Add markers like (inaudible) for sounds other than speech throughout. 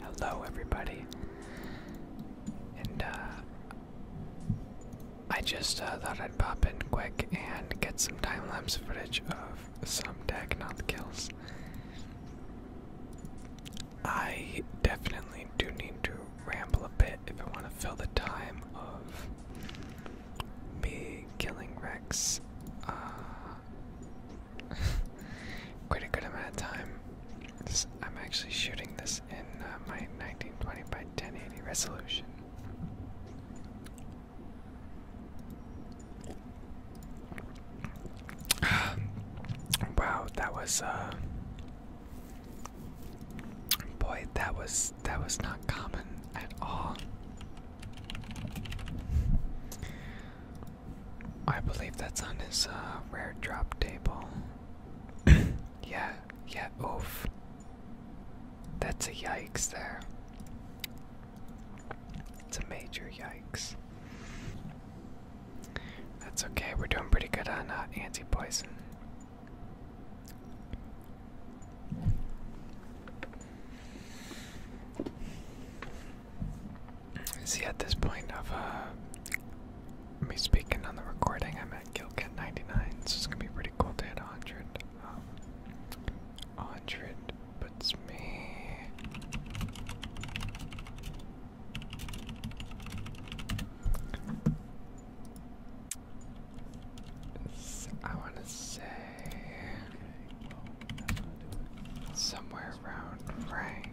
Hello, everybody. And, uh, I just uh, thought I'd pop in quick and get some time lapse footage of some Dagnoth kills. I definitely do need to ramble a bit if I want to fill the time of me killing Rex. Uh, (laughs) quite a good amount of time. I'm actually shooting this in uh, my 1920 by 1080 resolution. (sighs) wow, that was uh boy, that was that was not common at all. I believe that's on his uh, rare drop table. (coughs) yeah, yeah, oof. That's a yikes there. It's a major yikes. That's okay, we're doing pretty good on uh, anti poison. See, at this point of uh, me speaking on the recording, I'm at Gilcat 99, so it's gonna be pretty cool to hit 100. Um, 100 puts me. I want to say somewhere around rank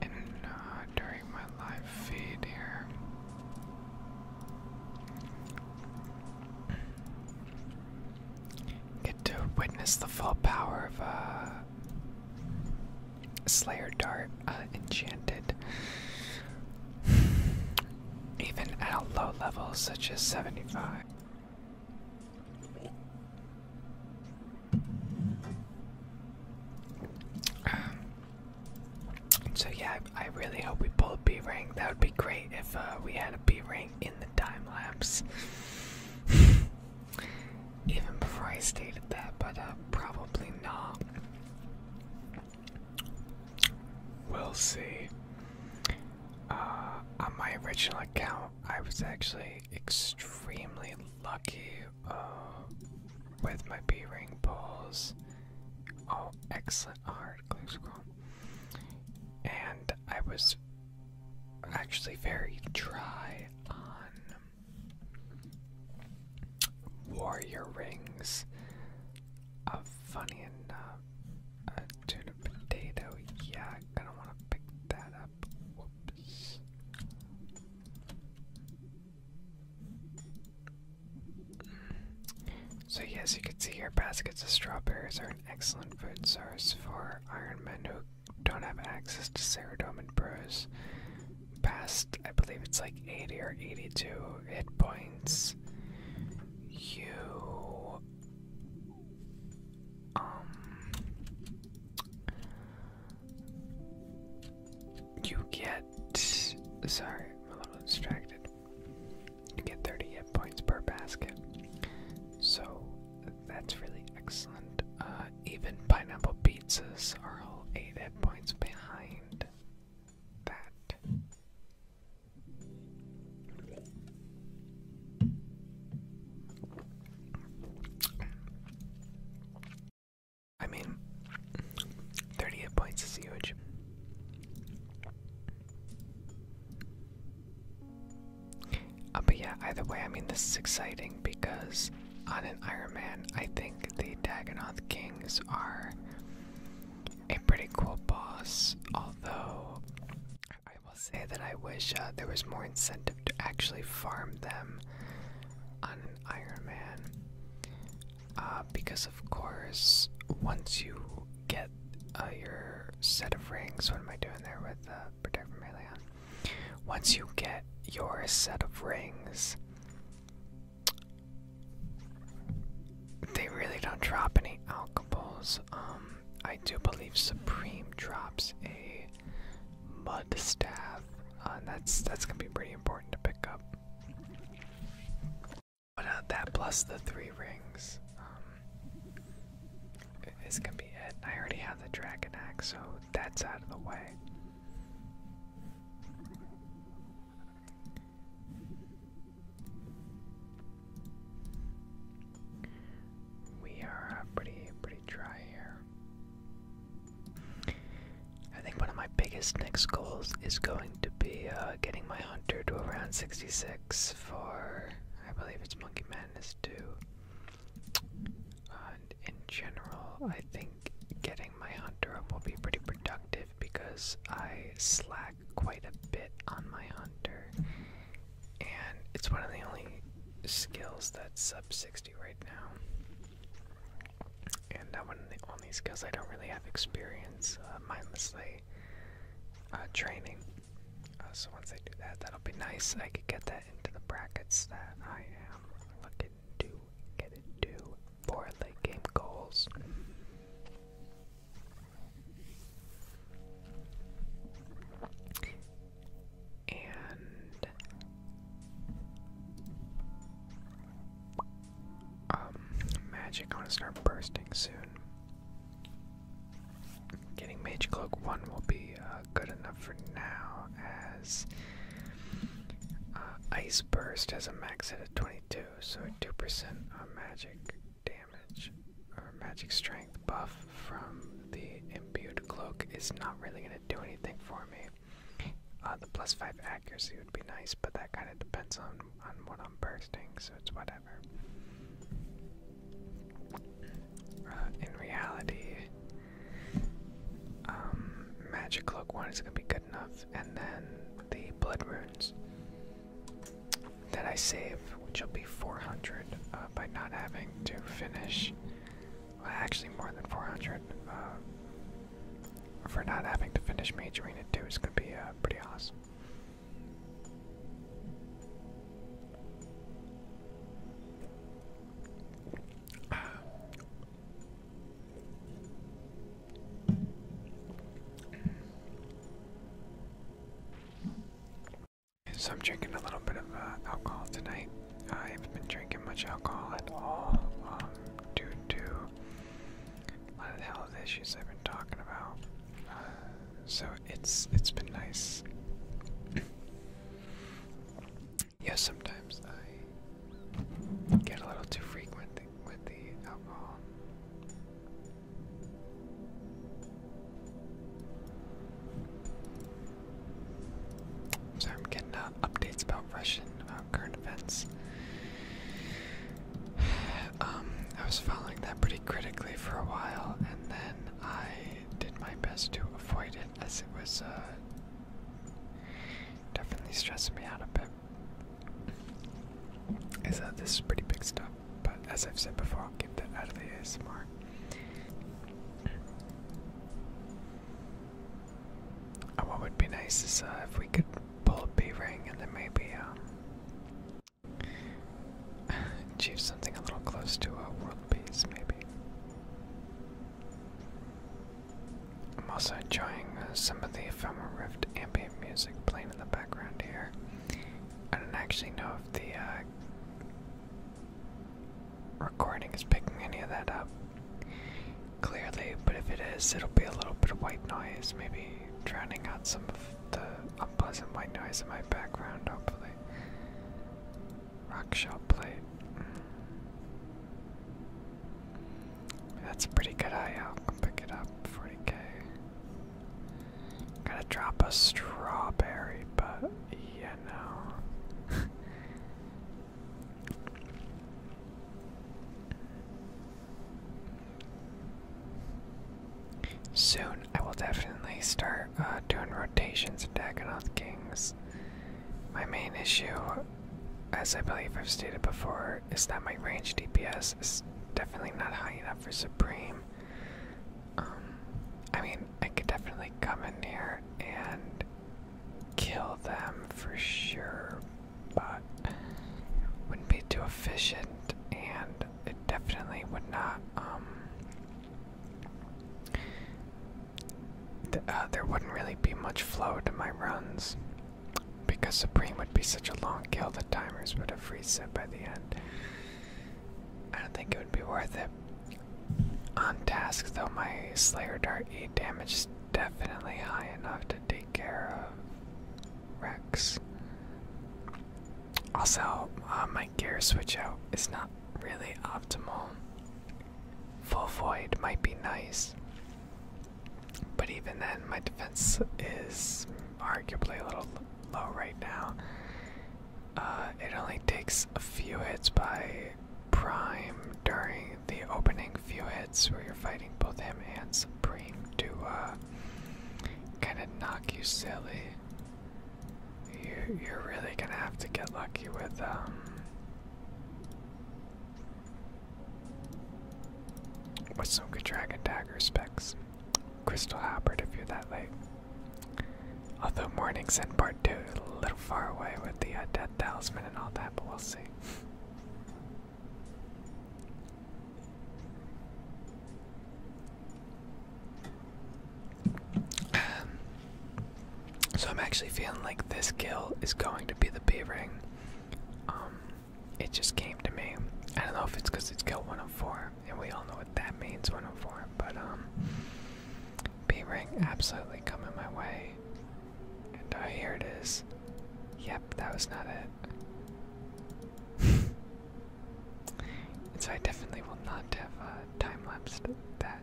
in uh, during my live feed here. Get to witness the full power of a uh, Slayer Dart uh, enchanted. Even at a low level such as 75. Um, so yeah, I, really hope we pull a B ring. That would be great if uh, we had a B ring in the time lapse. (laughs) Even before I stated that, but uh, probably not. We'll see. Uh, on my original account, I was actually extremely lucky uh, with my B ring pulls. Oh, excellent art, glue scroll. And I was actually very dry on warrior rings. Uh, funny enough, a tuna potato. Yeah, i gonna want to pick that up. So, yes, you can see here baskets of strawberries are an excellent food source for iron men who don't have access to serotonin and brews. Past, I believe it's like 80 or 82 hit points. You. Um, you get. Sorry, I'm a little distracted. You get 30 hit points per basket. So that's really excellent. Uh, even pineapple pizzas are all 8 hit points behind that. I mean, 38 points is huge. Uh, but yeah, either way, I mean, this is exciting because on an Iron Man, I think the Dagonoth Kings are a pretty cool boss. Although, I will say that I wish uh, there was more incentive to actually farm them on an Iron Man. Uh, because of course once you get uh, your set of rings, what am I doing there with uh, protect from melee Once you get your set of rings, they really don't drop any alcohols. Um, I do believe Supreme drops a mud staff, and uh, that's that's gonna be pretty important to pick up. But uh, that plus the three rings um, is gonna be it. I already have the dragon axe, so that's out of the way. We are pretty pretty dry here. I think one of my biggest next goals is going to be uh, getting my hunter to around 66 for, I believe it's Monkey Madness 2. and in general, I think getting my hunter up will be pretty productive because I slack quite a bit on my hunter. And it's one of the only skills that's sub 60 right now. And I went on these goals, I don't really have experience uh, mindlessly uh, training. Uh, so once I do that, that'll be nice. I could get that into the brackets that I am looking to get into for late game goals. And um, magic. I to start bursting soon. Getting Mage Cloak 1 will be uh, good enough for now, as uh, Ice Burst has a max hit of 22, so 2% uh, magic damage or magic strength buff from the imbued cloak is not really going to do anything for me. the plus 5 accuracy be nice, but that kind of depends on on what I'm bursting, so it's whatever. Uh, in reality, um, magic cloak one is gonna be good enough, and then the blood runes that I save, which will be 400 uh, by not having to finish. actually, more than 400. Uh, for not having to finish majoring in 2 is going to be uh, pretty awesome. So I'm drinking a little bit of uh, alcohol tonight. I haven't been drinking much alcohol at all um, due to lot of health issues I've been talking about. so it's it's been nice. (clears throat) yeah, sometimes I get a little too frequent with the alcohol. So I'm getting uh, updates about Russian uh, current events. (sighs) Um, I was following that pretty critically for a while, and then I did my best to avoid it as it was uh, definitely stressing me out a bit. Is that this is pretty big stuff, but as I've said before, I'll keep that out of the ASMR. And uh, what would be nice is uh, if we could pull a B ring and then maybe um, (laughs) achieve something a little close to a world peace, maybe. I'm also enjoying uh, some of the Ephemeral Rift ambient music playing in the background here. I don't actually know if the uh, recording is picking any of that up clearly, but if it is, it'll be a little bit of white noise, maybe drowning out some of the unpleasant white noise in my background, hopefully. Rock shell plate. Mm. That's a pretty good IO. Pick it up. 40k. Gotta drop a strawberry, but you know. (laughs) Soon, I will definitely start uh, doing rotations in Dagonoth Kings. My main issue, as I believe I've stated before, is that my range DPS is definitely not high enough for Supreme. Um, I mean, I could definitely come in here and kill them for sure, but wouldn't be too efficient, and it definitely would not. Um, uh, there wouldn't really be much flow to my runs because Supreme would be such a long kill. The timers would have reset by the end. I don't think it would be worth it. On task though, my Slayer Dart E damage is definitely high enough to take care of Rex. Also, uh, my gear switch out is not really optimal. Full void might be nice, but even then, my defense is arguably a little low right now. Uh, it only takes a few hits by Prime during the opening few hits where you're fighting both him and Supreme to uh, uh, kind knock you silly. You you're really gonna have to get lucky with um with some good dragon dagger specs. Crystal halberd if you're that late. Although morning send part two a little far away with the uh, death talisman and all that, but we'll see so I'm actually feeling like this kill is going to be the B ring. Um, it just came to me. I don't know if it's because it's kill 104, and we all know what that means 104, but um, B ring absolutely coming my way. And uh, here it is. Yep, that was not it. (laughs) so I definitely will not have uh, time lapse that.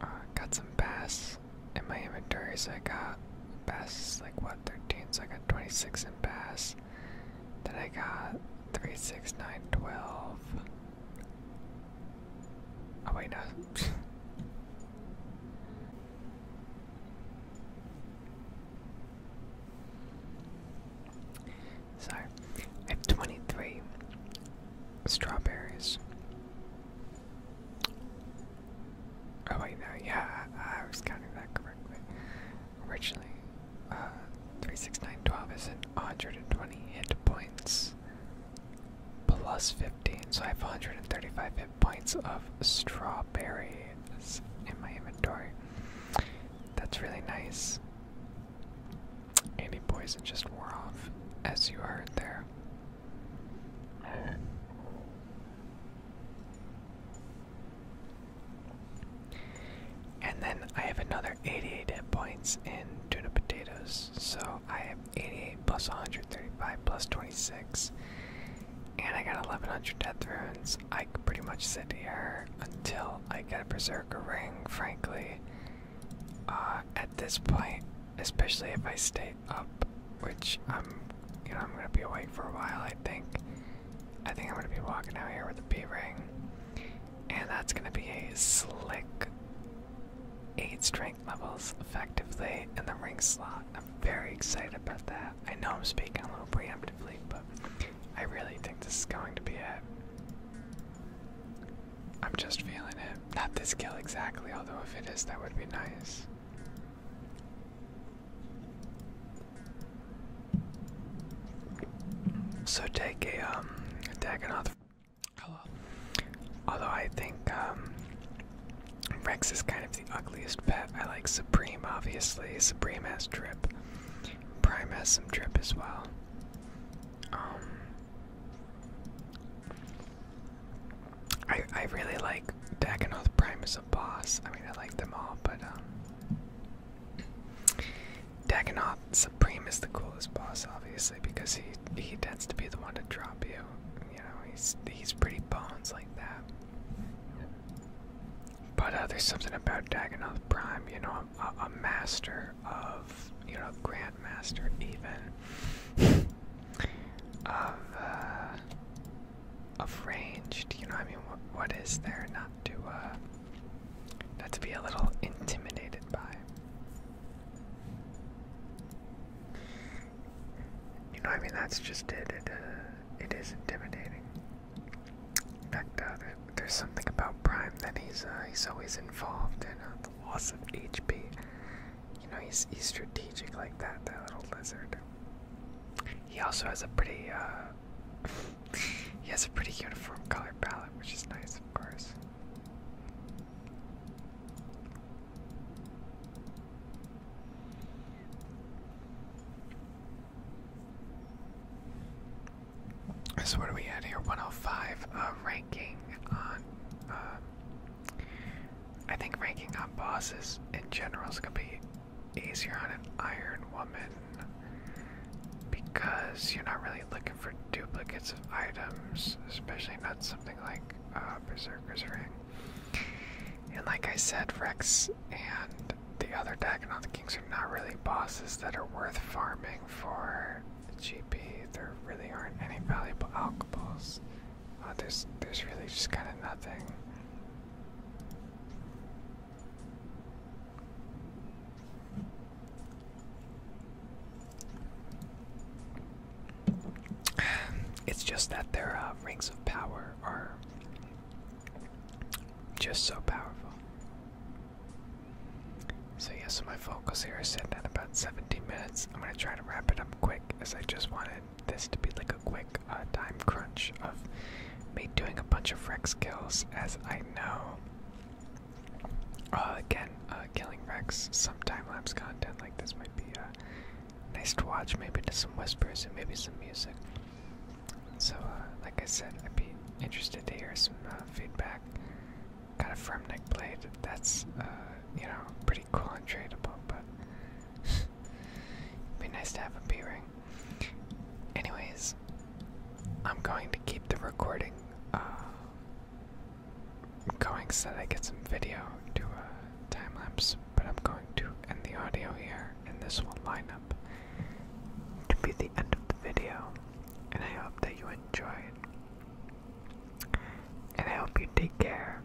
Uh, got some bass in my inventory, so I got bass like what 13, so I got 26 in bass. Then I got three, six, nine, twelve. Oh wait, no. (laughs) so, I have 23 strawberries. Oh wait, no, yeah, I, was counting that correctly. Originally, uh, three, six, nine, twelve is an 120 hit points plus 15, so I have 135 hit points of strawberries in my inventory. That's really nice. Any poison just wore off, as you heard there. And then I have another 88 hit points in tuna potatoes, so I 88 plus 135 plus 26. And I got 1100 death runes. I could pretty much sit here until I get a berserker ring, frankly. Uh, at this point, especially if I stay up, which I'm, you know, I'm gonna be awake for a while. I think, I think I'm gonna be walking out here with a B ring, and that's gonna be a slick eight string levels effectively in the ring slot. I'm very excited about that. I know I'm speaking a little preemptively, but I really think this is going to be it. I'm just feeling it. Not this kill exactly, although if it is, that would be nice. So take a um, Dagonoth Although I think um, Rex is kind of the ugliest pet. I like Supreme, obviously. Supreme has drip. Prime has some drip as well. Um, I I really like Daganoth Prime is a boss. I mean, I like them all, but um, Prime is the coolest boss, obviously, because he he tends to be the one to drop you. You know, he's he's pretty bones like that. But uh, there's something about Dagonoth Prime. You know, a, master of you know, grandmaster even (laughs) of uh, of ranged. You know, I mean, what what is there not to uh, not to be a little intimidated by? You know, I mean, that's just it. It, uh, it is intimidating. In fact, uh, there's something about Prime that he's uh, he's always involved in the loss of HP. You know, he's he's strategic like that. That little lizard. He also has a pretty (laughs) he has a pretty uniform color palette, which is nice, of course. So what are we at here? 105 uh, ranking on. Uh, I think ranking on bosses in general is gonna be easier on an Iron Woman because you're not really looking for duplicates of items, especially not something like uh, Berserker's Ring. And like I said, Rex and the other Dagon Kings are not really bosses that are worth farming for GP. There really aren't any valuable alcohols. Uh, there's, there's really just kind of nothing. (sighs) It's just that their uh, rings of power are just so powerful. So yes, my focus here is are sitting at about 17 minutes. I'm gonna try to wrap it up quick, as I just wanted this to be like a quick uh, time crunch of me doing a bunch of Rex kills, as I know. Uh, again, at uh, killing Rex. Some time-lapse content like this might be uh, nice to watch, maybe to some whispers and maybe some music. So, uh, like I said, I'd be interested to hear some feedback. Got a firm neck blade. That's, you know, pretty cool and tradable, but it'd (laughs) be nice to have a B-ring. Anyways, I'm going to keep the recording I'm going so that I get some video to a uh, time lapse, but I'm going to end the audio here, and this will line up to be the end of the video. And I hope that you enjoyed. And I hope you take care.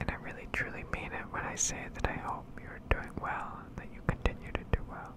And I really truly mean it when I say that I hope you're doing well that you continue to do well.